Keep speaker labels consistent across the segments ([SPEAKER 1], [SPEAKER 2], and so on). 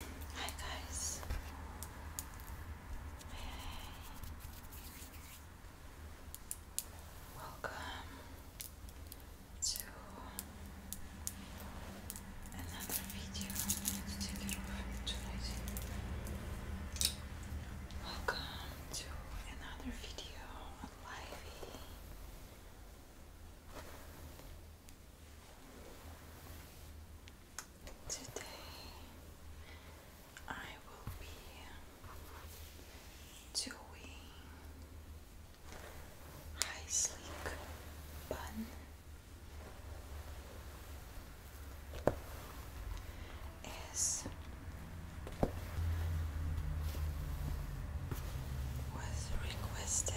[SPEAKER 1] Hi guys. Welcome to another video. Let's take it tonight. Welcome to another video on Livey. Today I will be doing high sleek bun is was requested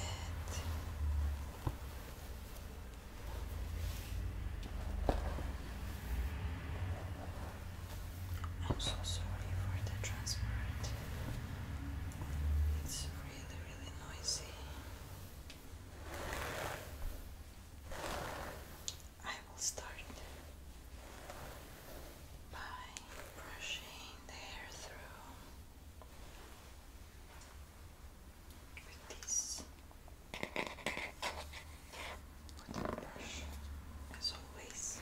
[SPEAKER 1] I'm so sorry for the transport. It's really, really noisy. I will start by brushing the hair through with this brush, as always.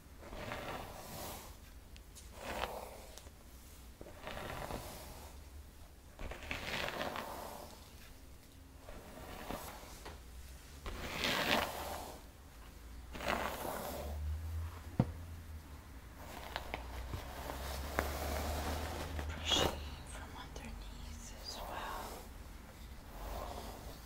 [SPEAKER 1] Pushing from underneath as well.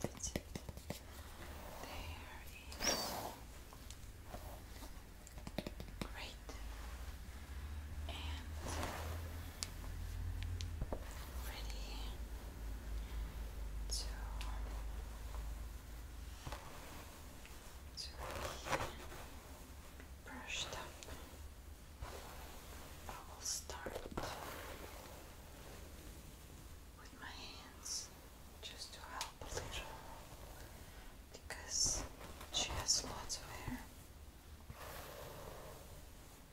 [SPEAKER 1] That's it. There is great and ready to to brushed up. I will start with my hands just to help a little because she has lots of hair.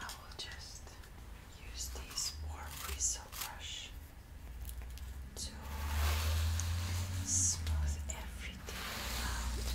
[SPEAKER 1] I will just use this warm bristle brush to smooth everything out.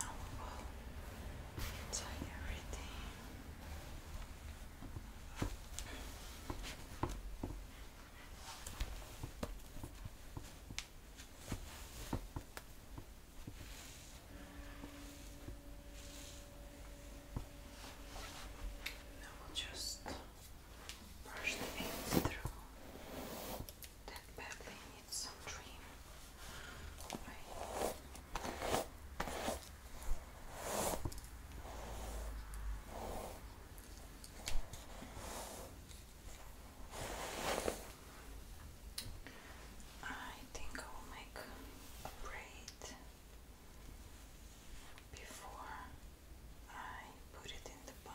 [SPEAKER 1] Now we will tie everything. Now we'll just brush the ends through. That badly needs some trim. I think I will make a braid before I put it in the pan.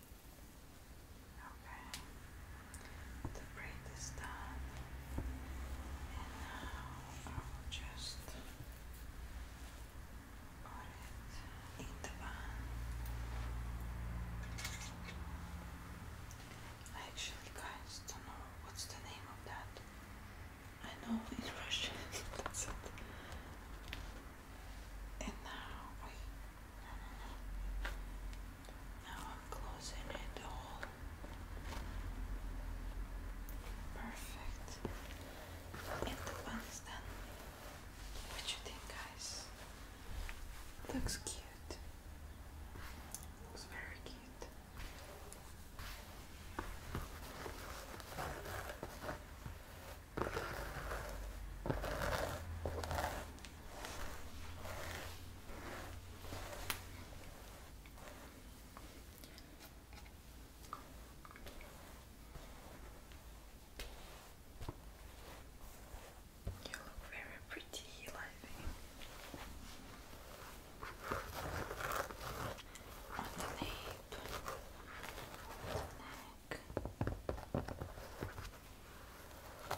[SPEAKER 1] Okay, the braid is done, and now I will just put it in the bun. actually, guys, don't know what's the name of that. I know in Russian, that's it. And now we now I'm closing it all. Perfect. It opens then. What you think, guys? Looks cute. Looks very cute. You look very pretty, Livy. on the neck.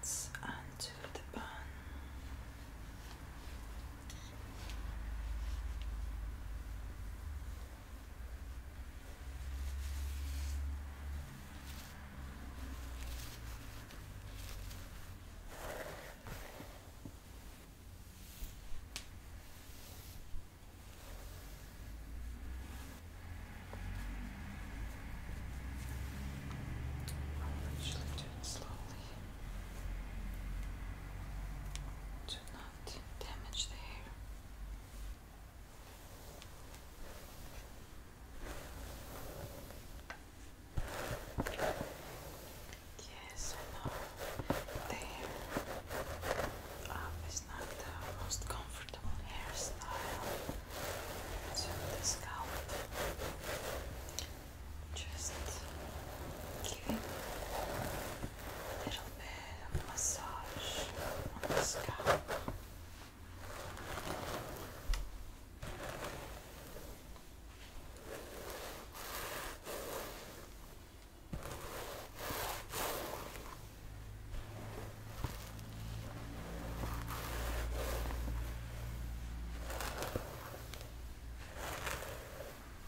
[SPEAKER 1] Let's undo the bun. Just it slowly to not damage the hair. Yes, I know the up um, is not the most comfortable hairstyle to the scalp. Just give it little bit of massage on the scalp. Good.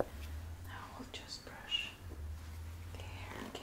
[SPEAKER 1] Now we'll just brush the hair again.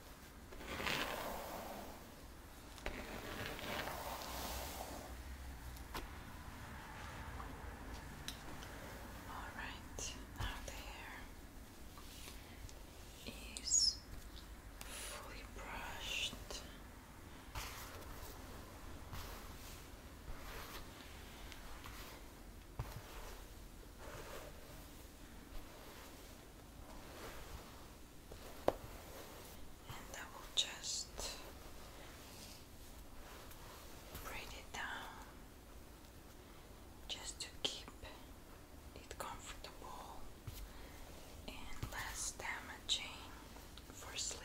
[SPEAKER 1] All right, now the hair is fully brushed. All and I will just braid it down just to keep it comfortable and less damaging for sleep.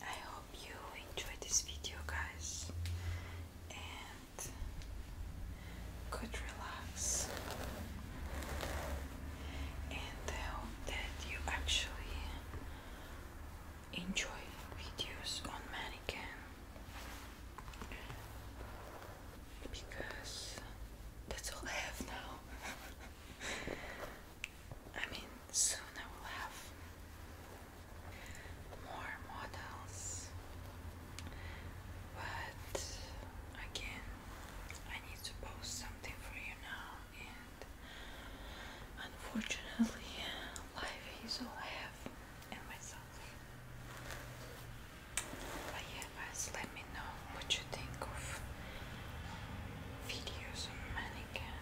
[SPEAKER 1] I hope you enjoyed this video, guys, and could relax. And I hope that you actually enjoy videos on mannequin because that's all I have now. I mean, soon I will have more models, but again, I need to post something for you now, and unfortunately, life is all I have and myself. But yeah guys, let me know what you think of videos on mannequin.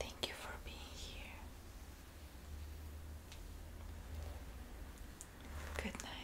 [SPEAKER 1] Thank you for being here. Good night.